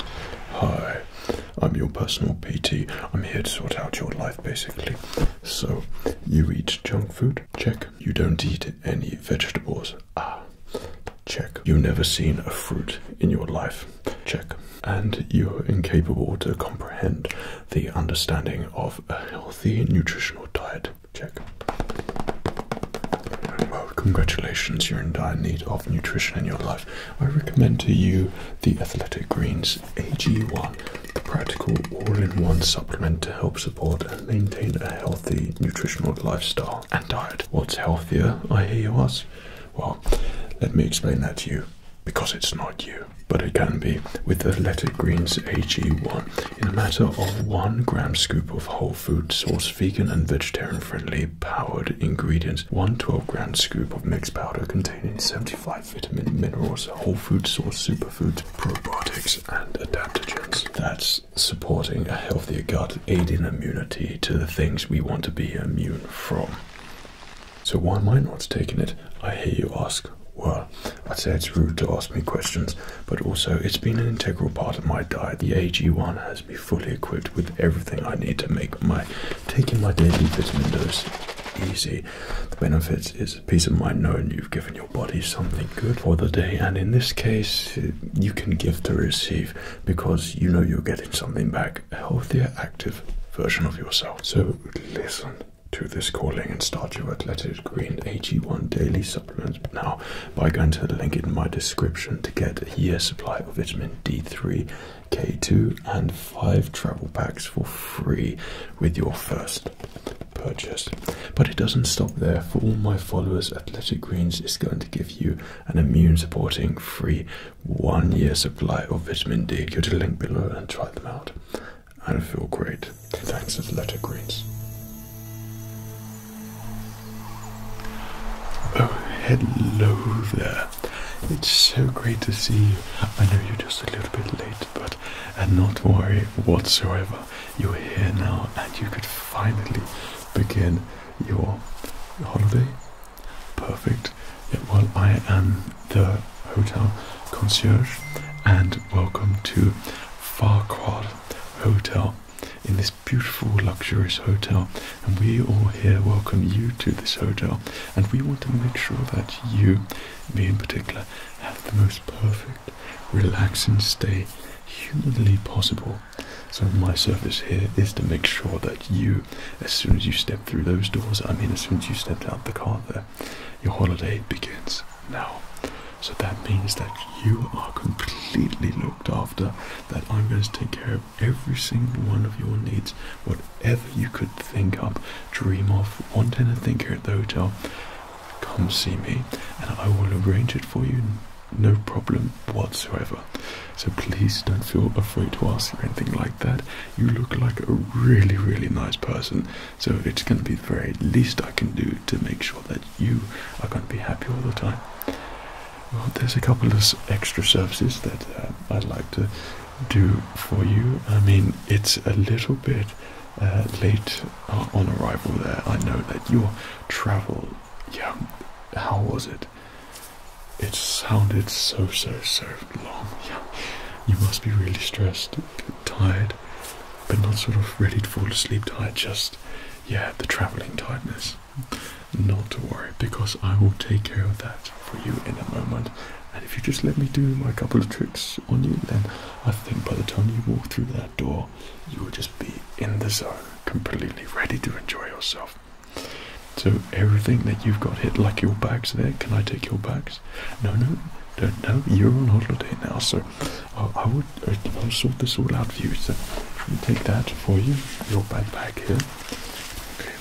Hi, I'm your personal PT. I'm here to sort out your life basically. So, you eat junk food? Check. You don't eat any vegetables? Ah, check. You've never seen a fruit in your life? Check. And you're incapable to comprehend the understanding of a healthy nutritional diet? Check. Well, congratulations, you're in dire need of nutrition in your life. I recommend to you the Athletic Greens AG1, the practical all-in-one supplement to help support and maintain a healthy nutritional lifestyle and diet. What's healthier, I hear you ask? Well, let me explain that to you because it's not you, but it can be with Athletic Greens AG1. In a matter of one gram scoop of whole food source, vegan and vegetarian friendly powered ingredients. One 12-gram scoop of mixed powder containing 75 vitamin minerals, whole food source, superfoods, probiotics, and adaptogens. That's supporting a healthier gut, aiding immunity to the things we want to be immune from. So why am I not taking it? I hear you ask. Well, I'd say it's rude to ask me questions, but also it's been an integral part of my diet. The AG1 has be fully equipped with everything I need to make my taking my daily vitamin dose easy. The benefits is peace of mind knowing you've given your body something good for the day, and in this case, you can give to receive because you know you're getting something back a healthier, active version of yourself. So, listen to this calling and start your Athletic Green AG1 daily Supplements now by going to the link in my description to get a year supply of vitamin D3 K2 and five travel packs for free with your first purchase. But it doesn't stop there. For all my followers, Athletic Greens is going to give you an immune supporting free one year supply of vitamin D. Go to the link below and try them out. I feel great. Thanks, Athletic Greens. Oh, hello there. It's so great to see you. I know you're just a little bit late, but and not worry whatsoever. You're here now, and you could finally begin your holiday. Perfect. well, I am the hotel concierge, and welcome to Farquhar Hotel in this beautiful, luxurious hotel and we all here welcome you to this hotel and we want to make sure that you me in particular have the most perfect relaxing stay humanly possible so my service here is to make sure that you as soon as you step through those doors i mean as soon as you step out the car there your holiday begins now so that means that you are completely looked after that i'm going to take care of every single one of your needs, whatever you could think up, dream of, want anything here at the hotel, come see me and I will arrange it for you. No problem whatsoever. So please don't feel afraid to ask or anything like that. You look like a really, really nice person. So it's going to be the very least I can do to make sure that you are going to be happy all the time. Well, there's a couple of extra services that uh, I'd like to do for you. I mean, it's a little bit uh, late uh, on arrival there. I know that your travel, yeah, how was it? It sounded so, so, so long. Yeah, you must be really stressed, tired, but not sort of ready to fall asleep tired, just, yeah, the traveling tiredness. Not to worry, because I will take care of that for you in a moment. And if you just let me do my couple of tricks on you, then I think by the time you walk through that door, you will just be in the zone, completely ready to enjoy yourself. So everything that you've got hit, like your bags there, can I take your bags? No, no, don't, no, you're on holiday now, so i would, uh, I'll sort this all out for you. So take that for you, your bag back here. Okay,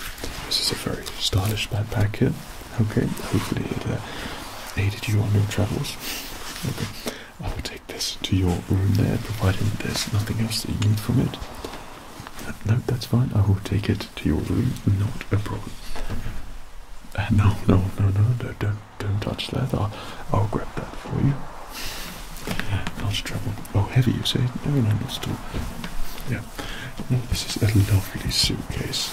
this is a very stylish backpack here. Okay, hopefully it uh, aided you on your travels. Okay, I will take this to your room there, provided there's nothing else that you need from it. Uh, no, that's fine. I will take it to your room. Not a problem. Uh, no, no, no, no, no, don't, don't touch that. I'll, I'll grab that for you. Not a Oh, heavy, you say? Never mind, it's all. Yeah. Mm, this is a lovely suitcase.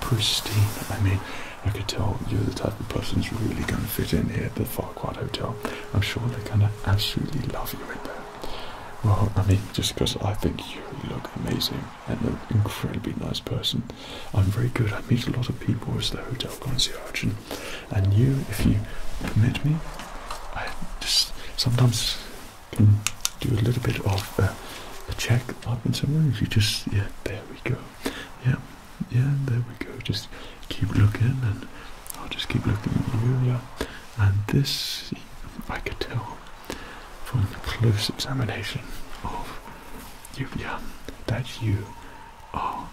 pristine. I mean, I could tell you're the type of person who's really going to fit in here at the Farquhar Hotel. I'm sure they're going to absolutely love you in there. Well, I mean, just because I think you look amazing and an incredibly nice person. I'm very good. I meet a lot of people as the hotel concierge. And, and you, if you permit me, I just sometimes can do a little bit of a check up in some If you just, yeah, there we go. Yeah, yeah, there we go. Just keep looking, and I'll just keep looking at you. Yeah, and this I could tell from the close examination of you. Yeah, that you are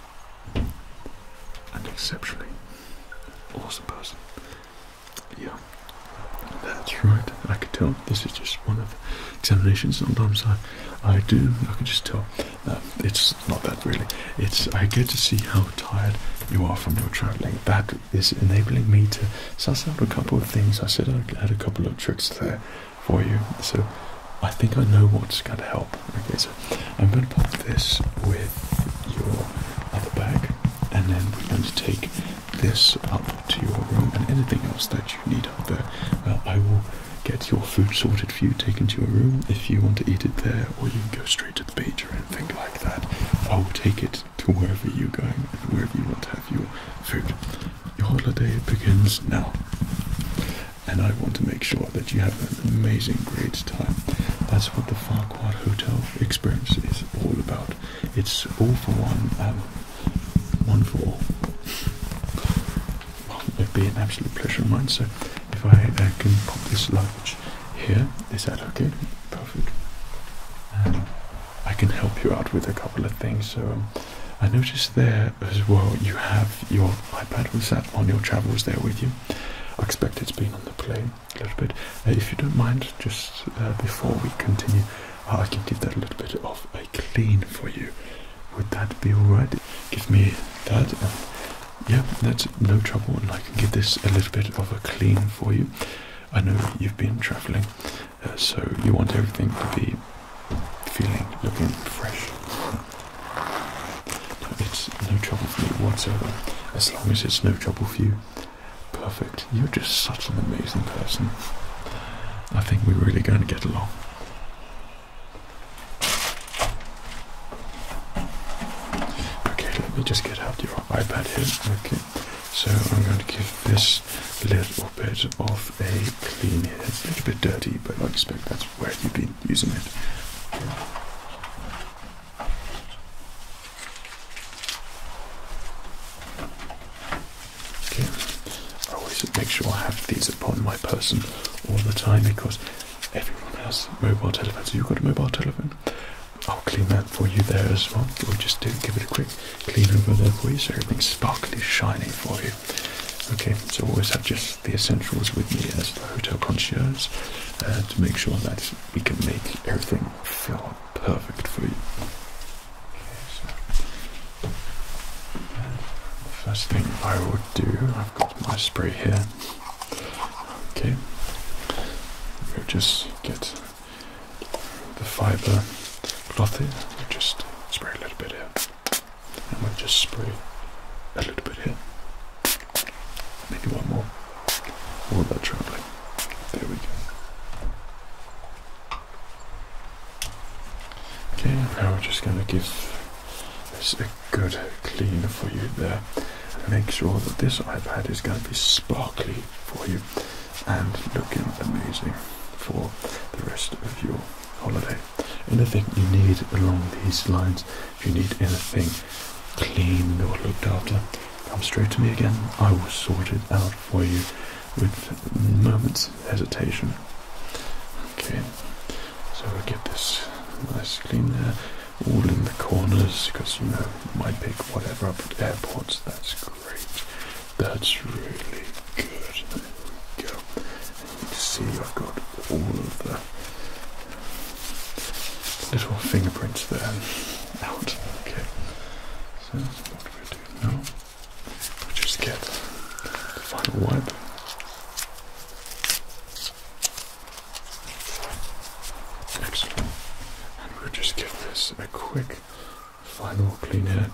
an exceptionally awesome person. Yeah, that's right. I could tell this is just one of examinations. Sometimes I, I do. I can just tell. Uh, it's not that really. It's I get to see how tired you are from your travelling. That is enabling me to suss out a couple of things. I said I had a couple of tricks there for you. So I think I know what's going to help. Okay, so I'm going to pop this with your of bag, and then we're going to take this up to your room and anything else that you need up there. Uh, I will get your food sorted for you, taken to your room if you want to eat it there, or you can go straight to the beach or anything like that. I will take it to wherever you're going and wherever you want to have your food. Your holiday begins now, and I want to make sure that you have an amazing, great time. That's what the Farquhar Hotel experience is all about. It's all for one, um, one for all. it'd be an absolute pleasure of mine. So, if I uh, can pop this luggage here, is that okay? Perfect. I can help you out with a couple of things. So, um, I noticed there as well you have your iPad. Was that on your travels there with you? I expect it's been on the plane okay, little bit. Uh, if you don't mind, just uh, before we continue, uh, I can give that a little bit of a clean for you. Would that be alright? Give me that. yeah, that's no trouble, and I can give this a little bit of a clean for you. I know you've been travelling, so you want everything to be feeling, looking fresh. it's no trouble for me whatsoever, as long as it's no trouble for you. Perfect. You're just such an amazing person. I think we're really going to get along. Okay, let me just get out your iPad here. Okay, so I'm going to give this a little bit of a clean It's a little bit dirty, but I expect that's where you've been using it. Okay. I always make sure I have these upon my person all the time because everyone has mobile telephones. you've got a mobile telephone? I'll clean that for you there as well. We'll just do give it a quick clean over there for you so everything sparkly shiny for you. Okay, so always have just the essentials with me as the hotel concierge uh, to make sure that we can make everything feel perfect for you. Okay, first thing I will do, I've got my spray here. Okay, we'll just get the fiber cloth here. We'll just spray a little bit here, and we'll just spray a little bit here. Maybe one more. All that traveling. There we go. Okay, now we're just going to give this a good clean for you there. Make sure that this iPad is going to be sparkly for you and looking amazing for the rest of your holiday. Anything you need along these lines, if you need anything clean or looked after, Come straight to me again. I will sort it out for you with moments hesitation. Okay, so we'll get this nice clean there, all in the corners because you know my pick whatever up at airports. That's great. That's really good. There we go. And you see I've got all of the little fingerprints there out. Okay. So what we do now, we just get the final wipe. Next one, And we'll just give this a quick final clean here,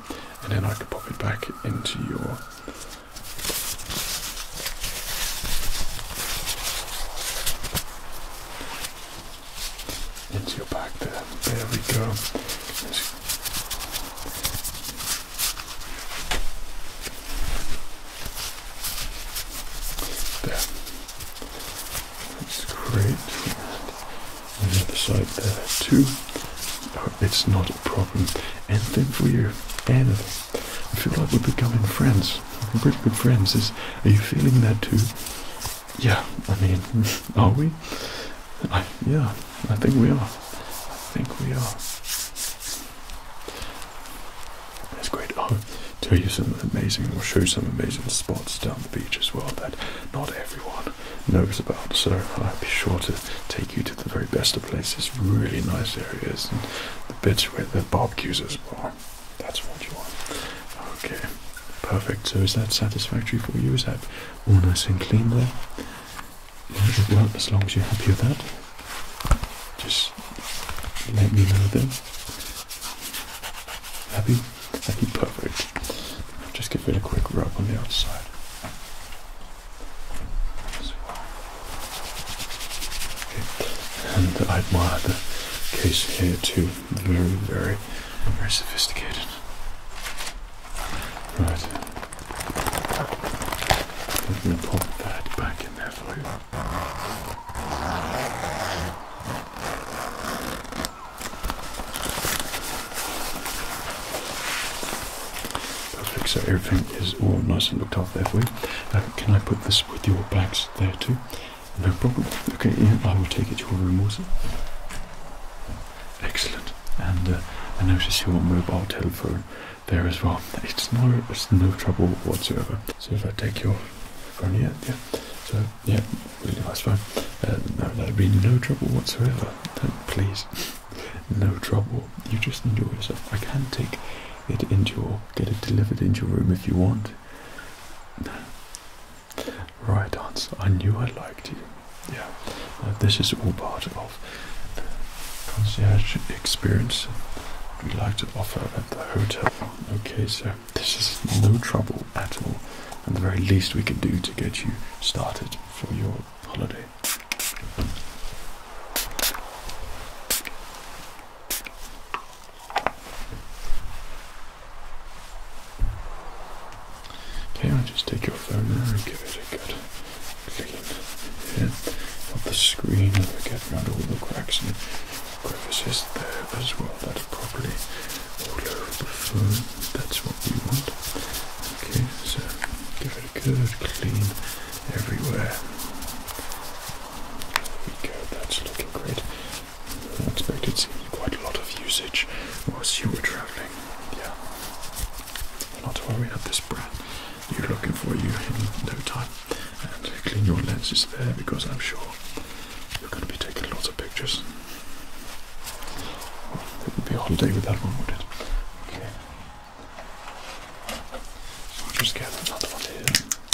and then I can pop it back into your into your back there. There we go. There. That's great. On the other side there too. it's not a problem. And then for you, Anna, I feel like we're becoming friends. We're pretty good friends. Is, are you feeling that too? Yeah, I mean, are we? yeah, I think we are. I think we are. It's great. I'll tell you some amazing, We'll show you some amazing spots down the beach as well that not everyone knows about. So I'll be sure to take you to the very best of places, really nice areas, and the bits where the barbecues are. That's what you want. Okay, perfect. So is that satisfactory for you? Is that all nice and clean there? well, as long as you're happy with that, just let me know then. Happy? Happy, perfect. just give it a quick rub on the outside. And I admire the case here too very, very, very sophisticated. Right. Let me put that back in there for you. Perfect, so everything is all nice looked after for you. Uh, can I put this with your bags there too? No problem. Okay, I will take it to your room also. Excellent. And uh, I notice your mobile telephone there as well. It's no, it's no trouble whatsoever. So if I take your phone here, yeah, yeah. So yeah, really nice uh, no, that'd be no trouble whatsoever. please, no trouble. You just enjoy yourself. I can take it into your, get it delivered into your room if you want. Right answer. I knew I liked you. Yeah. this is all part of the concierge experience we like to offer at the hotel. Okay, so this is no trouble at all. And the very least we can do to get you started for your holiday. Okay, I'll just take your phone there and give it a good clean here the screen and we'll get around all the cracks and crevices there as well. That's properly all over the phone. That's what we want. Okay, so give it a good clean everywhere. There we go, that's looking great. I expect it's seen quite a lot of usage whilst you were travelling. Yeah. Not to about this brand you're looking for you in no time. And clean your lenses there because I'm sure you're going to be taking lots of pictures. it would be a holiday with that one, would it? Okay. just get another one here.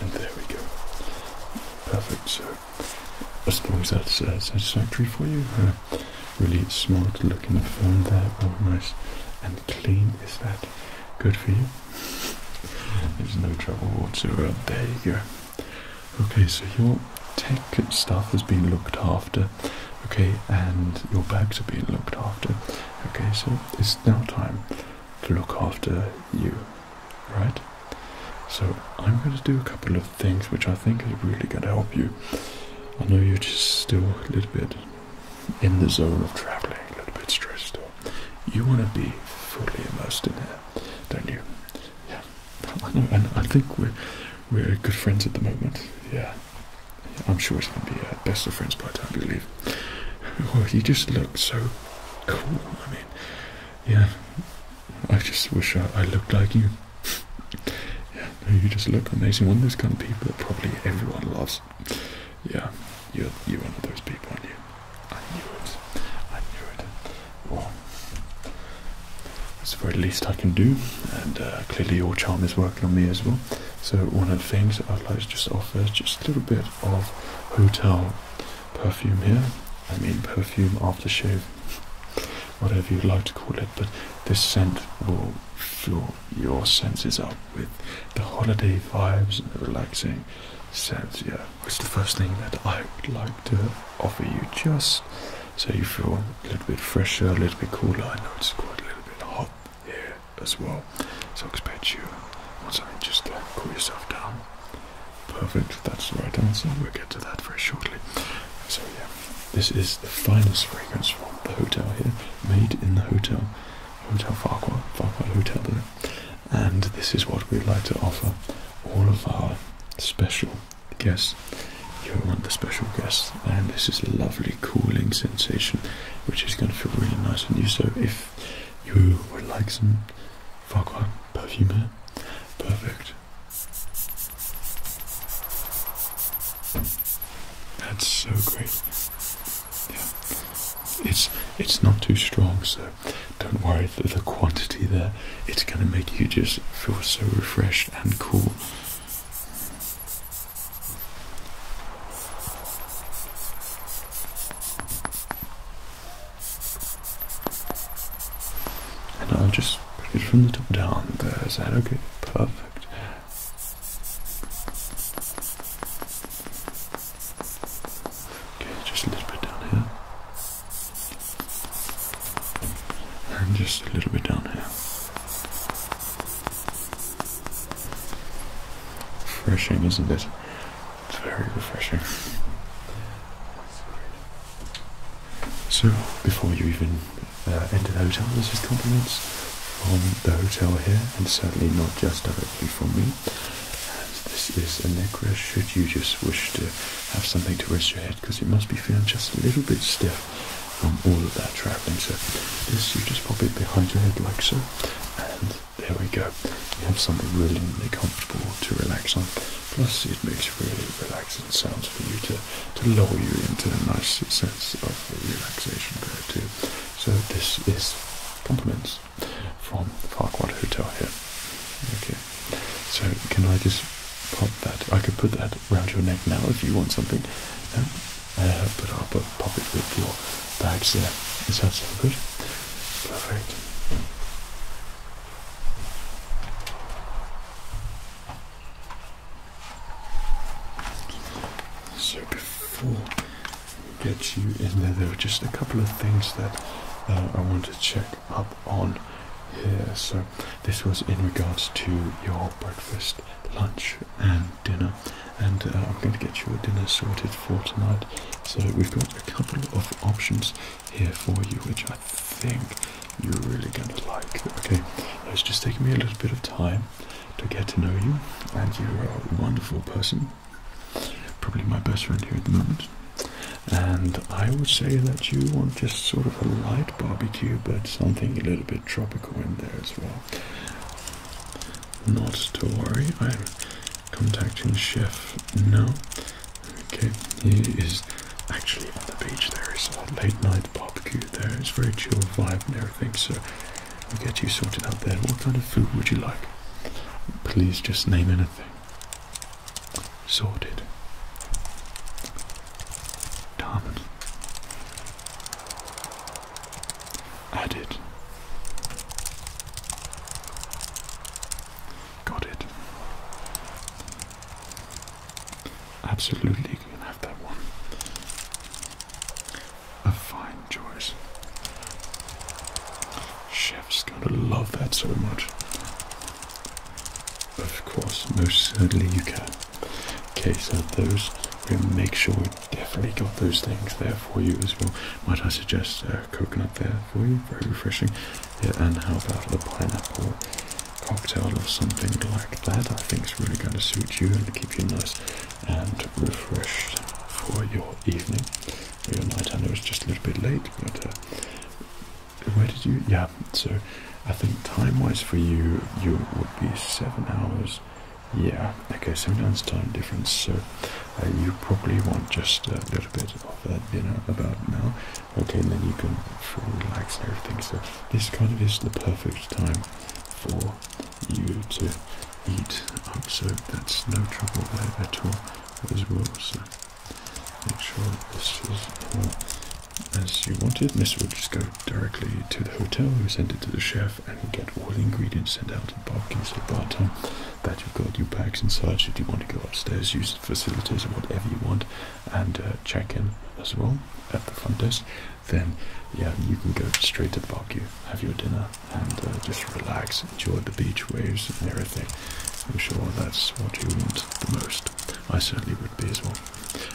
And there we go. Perfect. So, I suppose that's uh, satisfactory for you. Uh, really smart looking phone there, all nice and clean. Is that Good for you. There's no trouble whatsoever. There you go. Okay, so your tech stuff has been looked after. Okay, and your bags have been looked after. Okay, so it's now time to look after you, right? So I'm going to do a couple of things which I think are really going to help you. I know you're just still a little bit in the zone of traveling, a little bit stressed out. You want to be fully immersed in here, don't you? Yeah, I and I think we're we're good friends at the moment. Yeah, I'm sure it's going to be uh, best of friends by the time we leave. Oh, you just look so cool. I mean, yeah, I just wish I, looked like you. yeah, you just look amazing. One of those kind of people that probably everyone loves yeah, you're, you one of those people, you? I knew it. I knew it. Well, it's the very least I can do, and uh, clearly your charm is working on me as well. So one of the things I'd like to just offer is just a little bit of hotel perfume here. I mean perfume, aftershave, whatever you'd like to call it, but this scent will fuel your senses up with the holiday vibes and the relaxing sense. Yeah, what's the first thing that I would like to offer you just so you feel a little bit fresher, a little bit cooler? I know it's quite a little bit hot here as well, so I expect you want something just cool yourself down. Perfect, that's the right answer. We'll get to that very shortly. So, yeah, this is the finest fragrance from the hotel here, made in the hotel. Hotel Farquhar, Farquhar Hotel And this is what we'd like to offer all of our special guests. You're one of the special guests, and this is a lovely cooling sensation, which is going to feel really nice on you. So, if you would like some Farquhar perfume perfect. That's so great. It's it's not too strong, so don't worry for the quantity there. It's going to make you just feel so refreshed and cool. And I'll just put it from the top down there. Is that okay? Perfect. Okay, just a little bit down here. And just a little bit down here. Refreshing, isn't it? It's very refreshing. So, before you even uh, enter the hotel, this is compliments from um, the hotel here and certainly not just directly for me. this is a neck rest, should you just wish to have something to rest your head, because it must be feeling just a little bit stiff from all of that travelling. So this, you just pop it behind your head like so, and there we go. You have something really, really comfortable to relax on. Plus, it makes really relaxing sounds for you to, to lull you into a nice sense of relaxation there too. So this is compliments from Farquhar Hotel here. Okay. So can I just pop that? I could put that around your neck now if you want something. No? Um, uh, but I'll pop it with your bags there. Is that so good? Perfect. So before get you in there. There are just a couple of things that uh, I want to check up on here. So, this was in regards to your breakfast, lunch, and dinner. And uh, I'm going to get you a dinner sorted for tonight. So, we've got a couple of options here for you, which I think you're really going to like. Okay, it's just taking me a little bit of time to get to know you, and you are a wonderful person. Probably my best friend here at the moment. And I would say that you want just sort of a light barbecue, but something a little bit tropical in there as well. Not to worry, I'm contacting Chef No. Okay, he is actually on the beach There is a late night barbecue there. It's very chill vibe and everything, so We'll get you sorted out there. What kind of food would you like? Please just name anything. Sorted. Done. Added. Got it. Absolutely, you can have that one. A fine choice. Chef's gonna love that so much. Of course, most certainly you can. Case so those, we'll make sure we definitely got those things there for you as well. Might I suggest a coconut there for you? Very refreshing. Yeah, and how about a pineapple cocktail or something like that? I think it's really going to suit you and keep you nice and refreshed for your evening. Your night, I know it's just a little bit late, but uh, where did you? Yeah, so I think time-wise for you, you would be seven hours. Yeah, okay, seven hours time difference. So uh, you probably want just a little bit of uh, dinner about now. Okay, and then you can relax and everything. So this kind of is the perfect time for you to eat up, so that's no trouble there at all as well. So make sure this is all as you wanted. This will just go directly to the hotel, We'll send it to the chef, and get all the ingredients sent out in parking. So by the time that you've got your bags and such, if you want to go upstairs, use the facilities or whatever you want, and uh, check in as well at the front desk then yeah, you can go straight to the barbecue, have your dinner, and uh, just relax, enjoy the beach waves and everything. I'm sure that's what you want the most. I certainly would be as well.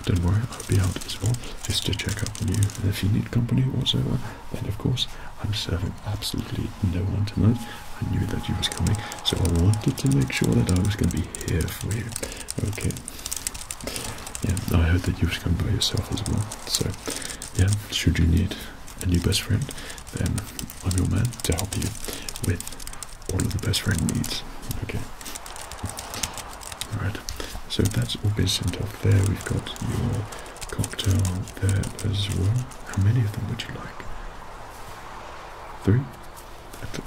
Don't worry, I'll be out as well, just to check up on you. And if you need company whatsoever, then of course, I'm serving absolutely no one tonight. I knew that you was coming, so I wanted to make sure that I was going to be here for you. Okay. Yeah, I heard that you was coming by yourself as well, so yeah, should you need a new best friend, then I'm your man to help you with all of the best friend needs. Okay. Alright, so that's all been sent off there. We've got your cocktail there as well. How many of them would you like? Three?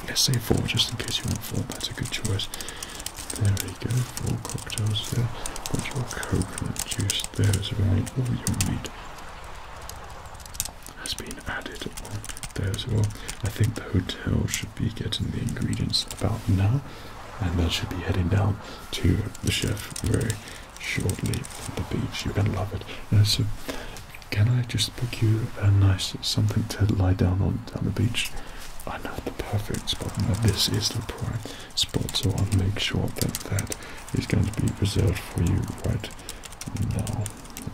Let's say four, just in case you want four. That's a good choice. There you go, four cocktails there. Got your coconut juice there as well, all you need has been added on there as well. I think the hotel should be getting the ingredients about now, and that should be heading down to the chef very shortly the beach. You're gonna love it. Uh, so, can I just book you a nice something to lie down on down the beach? I know the perfect spot. this is the prime spot. So I'll make sure that that is going to be reserved for you right now.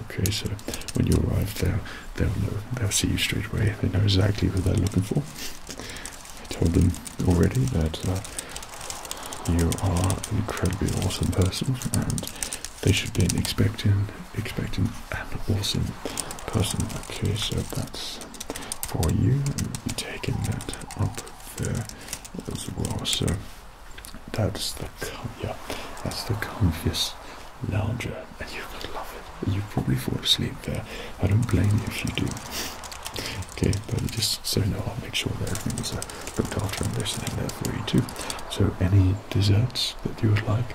Okay, so when you arrive there, they'll know. They'll see you straight away. They know exactly what they're looking for. I told them already that uh, you are an incredibly awesome person, and they should be expecting expecting an awesome person. Okay, so that's for you and be taking that up there as well. So that's the yeah, that's the comfiest lounger, and you would love it. You probably fall asleep there. I don't blame you if you do. Okay, but just so know, I'll make sure that everything is uh, looked after and there's something there for you too. So any desserts that you would like?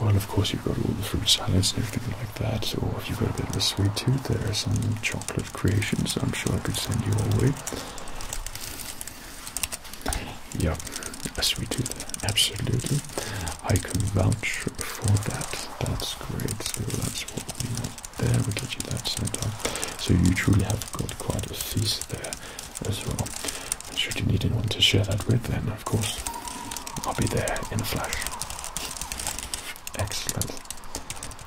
Well, of course, you've got all the fruit salads and everything like that, or if you've got a bit of a sweet tooth, there are some chocolate creations I'm sure I could send you away. Yeah, a sweet tooth, absolutely. I can vouch for that. That's great. So that's what we want there. We get you that set up. So you truly have got quite a feast there as well. should you need anyone to share that with, then of course I'll be there in a flash. Excellent.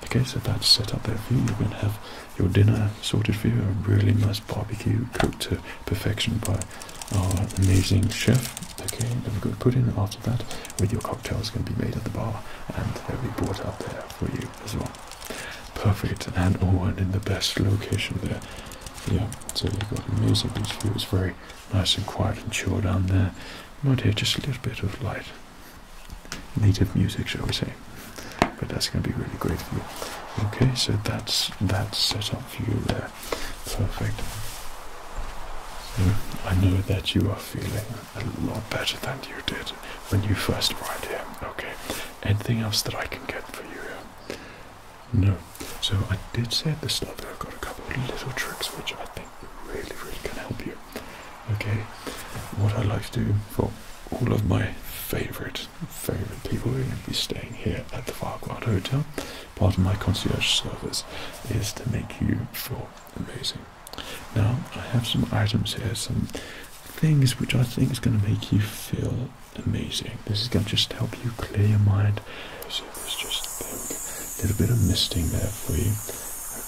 Okay, so that's set up there for you. You're going to have your dinner sorted for you, a really nice barbecue cooked to perfection by our amazing chef. Okay, then we're going to put in after that with your cocktails going to be made at the bar and they'll be brought out there for you as well. Perfect, and oh, and in the best location there. Yeah, so you've got amazing views. very nice and quiet and chill down there. You might hear just a little bit of light, native music, shall we say. But that's going to be really great for you. Okay, so that's that's set up for you there. Perfect. So I know that you are feeling a lot better than you did when you first arrived here. Okay. Anything else that I can get for you No. So I did say at the start that I've got a couple of little tricks which I think really, really can help you. Okay, what I like to do for all of my favorite, favorite people who are going to be staying here at the Farquhar Hotel, part of my concierge service, is to make you feel amazing. Now, I have some items here, some things which I think is going to make you feel amazing. This is going to just help you clear your mind. there's just a little bit of misting there for you.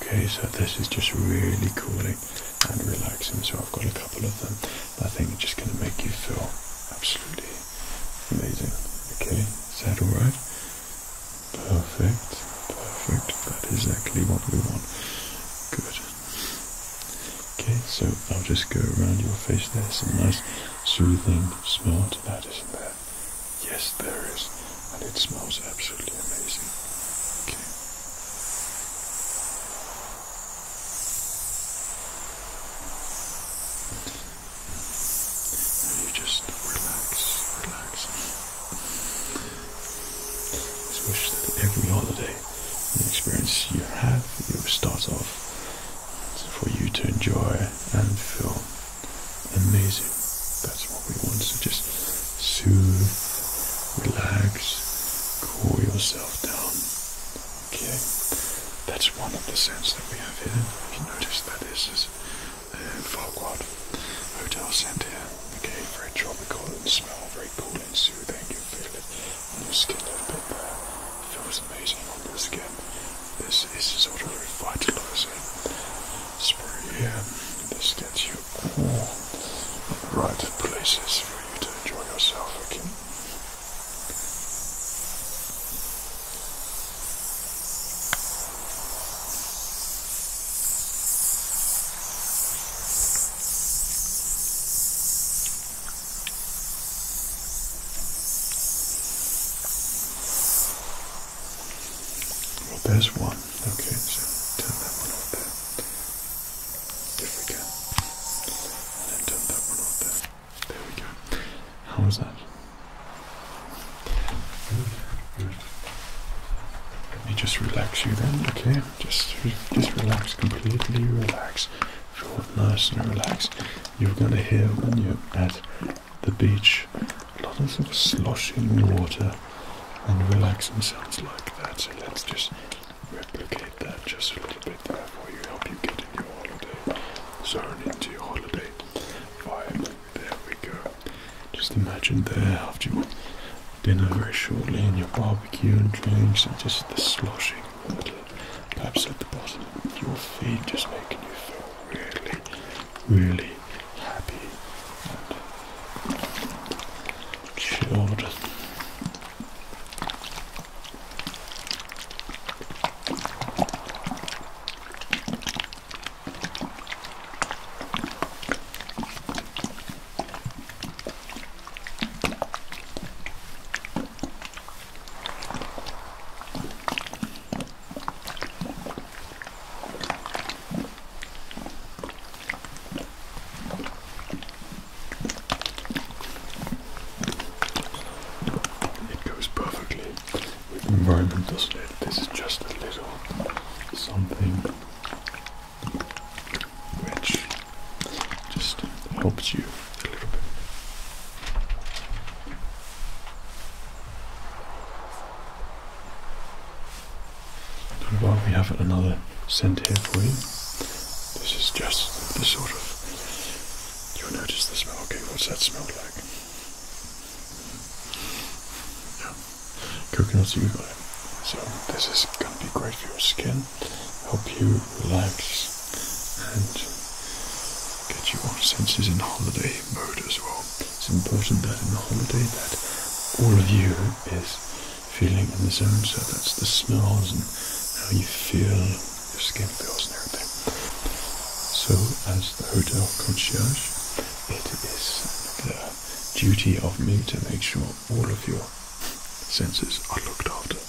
Okay, so this is just really cooling and relaxing. So I've got a couple of them. I think just going to make you feel absolutely amazing. Okay, is that alright? Perfect, perfect. That is exactly what we want. Good. Okay, so I'll just go around your face. There, some nice soothing smell to that, isn't there? Yes, there is. And it smells absolutely amazing. Okay. And you just relax, relax. I wish that every holiday the experience you have, you start off for you to enjoy and feel Amazing. That's what we want. So just soothe, relax, cool yourself down. Okay. That's one of the scents that we have here. you notice that this is uh, Farquad hotel scent here. Okay, very tropical and smell very cool and soothing. You feel it on your skin a bit there. Feels amazing on the skin. This is sort of revitalizing spray here. This gets you all the right places for you to enjoy yourself, again. Well, there's one. Okay, so turn that one off there. we can. And then turn that one off there. we go. How was that? Let me just relax you then, okay? Just, just relax, completely relax. Feel nice and relaxed. You're going to heal, when you're at the beach. lots of sloshing water and relax themselves like that. So let's just replicate that just a little bit there for you, help you get in your holiday zone, into your holiday vibe. There we go. Just imagine there after you dinner very shortly and your barbecue and drinks and just the sloshing water, perhaps at the bottom, your feet just making you feel really really happy and it goes perfectly with environment, doesn't it? This is just a little something which just helps you a little bit. Well, we have another scent here for you. This is just the sort of. You'll notice the smell. Okay, what's that smell like? Yeah, coconuts you got it. So this is going to be great for your skin, help you relax, and get you all senses in holiday mode as well. It's important that in the holiday that all of you is feeling in the zone. So that's the smells and how you feel, your skin feels and everything. So as the hotel concierge, it is the duty of me to make sure all of your senses are looked after.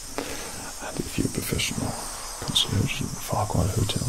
And if you're a professional concierge at the Farquhar Hotel,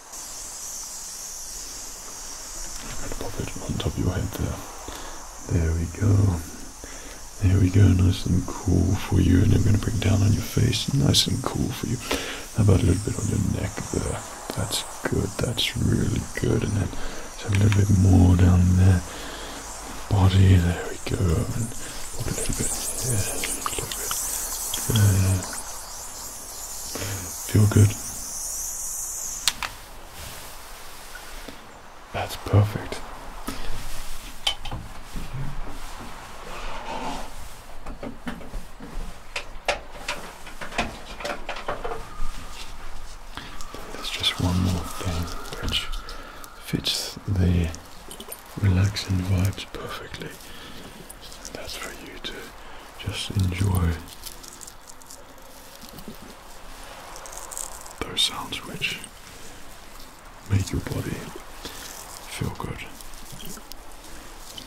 And pop it on top of your head there. There we go. There we go, nice and cool for you. And I'm going to bring down on your face, nice and cool for you. How about a little bit on your neck there? That's good, that's really good. And then just a little bit more down there. Body, there we go. And pop a little bit here, a little bit there. Feel good. That's perfect. There's just one more thing which fits the relaxing vibes perfectly. that's for you to just enjoy those sounds which make your body feel good.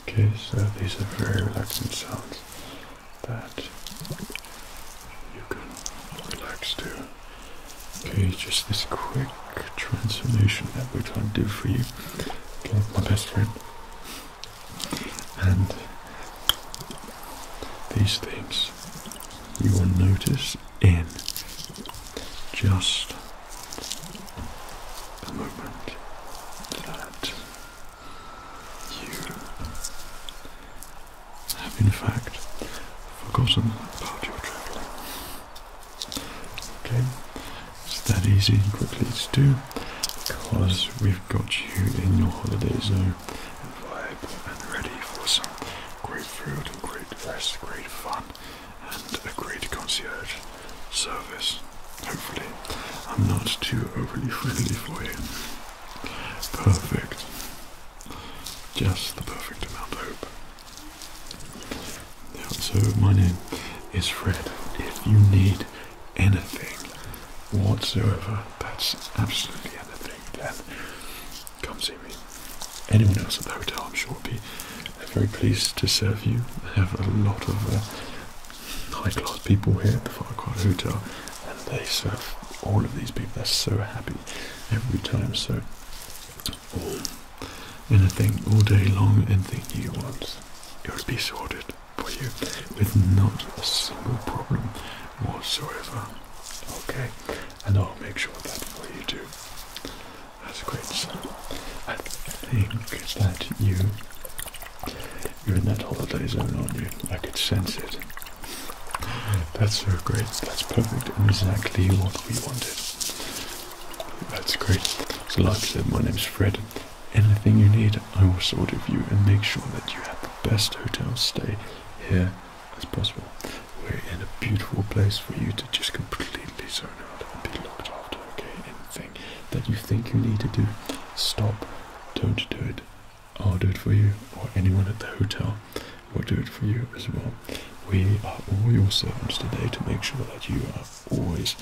Okay, so these are very relaxing sounds that you can relax to. Okay, just this quick transformation that we're trying to do for you. Okay, my best friend. And these things you will notice in just a moment that you have in fact forgotten about your travelling. Okay, it's that easy and quickly to do because we've got you in your holiday zone and and ready for some great food and great rest, great fun and a great concierge service. Hopefully, I'm not too overly friendly for you. Perfect. Just the perfect amount, of hope. So my name is Fred. If you need anything whatsoever, that's absolutely anything, then come see me. Anyone else at the hotel, I'm sure, will be very pleased to serve you. I have a lot of uh, high-class people here at the Farquhar Hotel, and they serve all of these people. They're so happy every time. So anything all day long, anything you want. It will be sorted for you with not a single problem whatsoever. Okay, and I'll make sure that for you too. That's great. So I think that you you're in that holiday zone, aren't you? I could sense it. That's so great. That's perfect. And exactly what we wanted. That's great. So like I said, my name's Fred. Anything you need, I will sort of you and make sure that you have the best hotel stay here as possible. We're in a beautiful place for you to just completely zone out and be looked after, okay? Anything that you think you need to do, stop. Don't do it. I'll do it for you, or anyone at the hotel will do it for you as well. We are all your servants today to make sure that you are always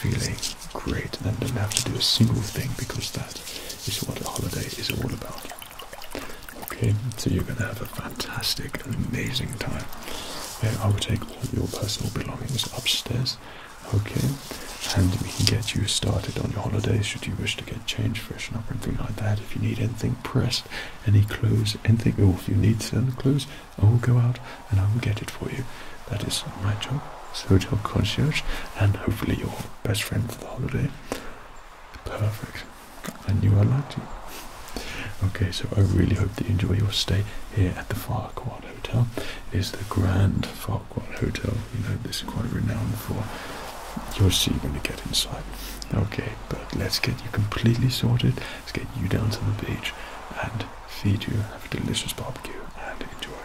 feeling great and don't have to do a single thing because that is what a holiday is all about. Okay, so you're going to have a fantastic and amazing time. I will take all your personal belongings upstairs, okay, and we can get you started on your holiday should you wish to get changed, freshen up, or anything like that. If you need anything pressed, any clothes, anything, or if you need certain clothes, I oh, will go out and I will get it for you. That is my job as hotel concierge and hopefully your best friend for the holiday. Perfect. I knew I liked you. Okay, so I really hope that you enjoy your stay here at the Farquhar Hotel. It is the Grand Farquhar Hotel. You know, this is quite renowned for. You'll see when you get inside. Okay, but let's get you completely sorted. Let's get you down to the beach and feed you, have a delicious barbecue, and enjoy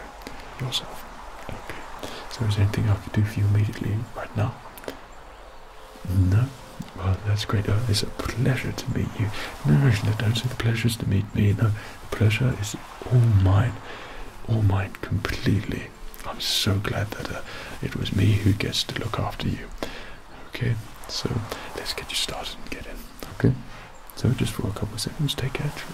yourself. Okay. So is there anything I can do for you immediately right now? No? Well, that's great. Oh, it's a pleasure to meet you. No, no, no, don't say the pleasure is to meet me. No, the pleasure is all mine. All mine completely. I'm so glad that uh, it was me who gets to look after you. Okay, so let's get you started and get in. Okay, so just for a couple of seconds, take action.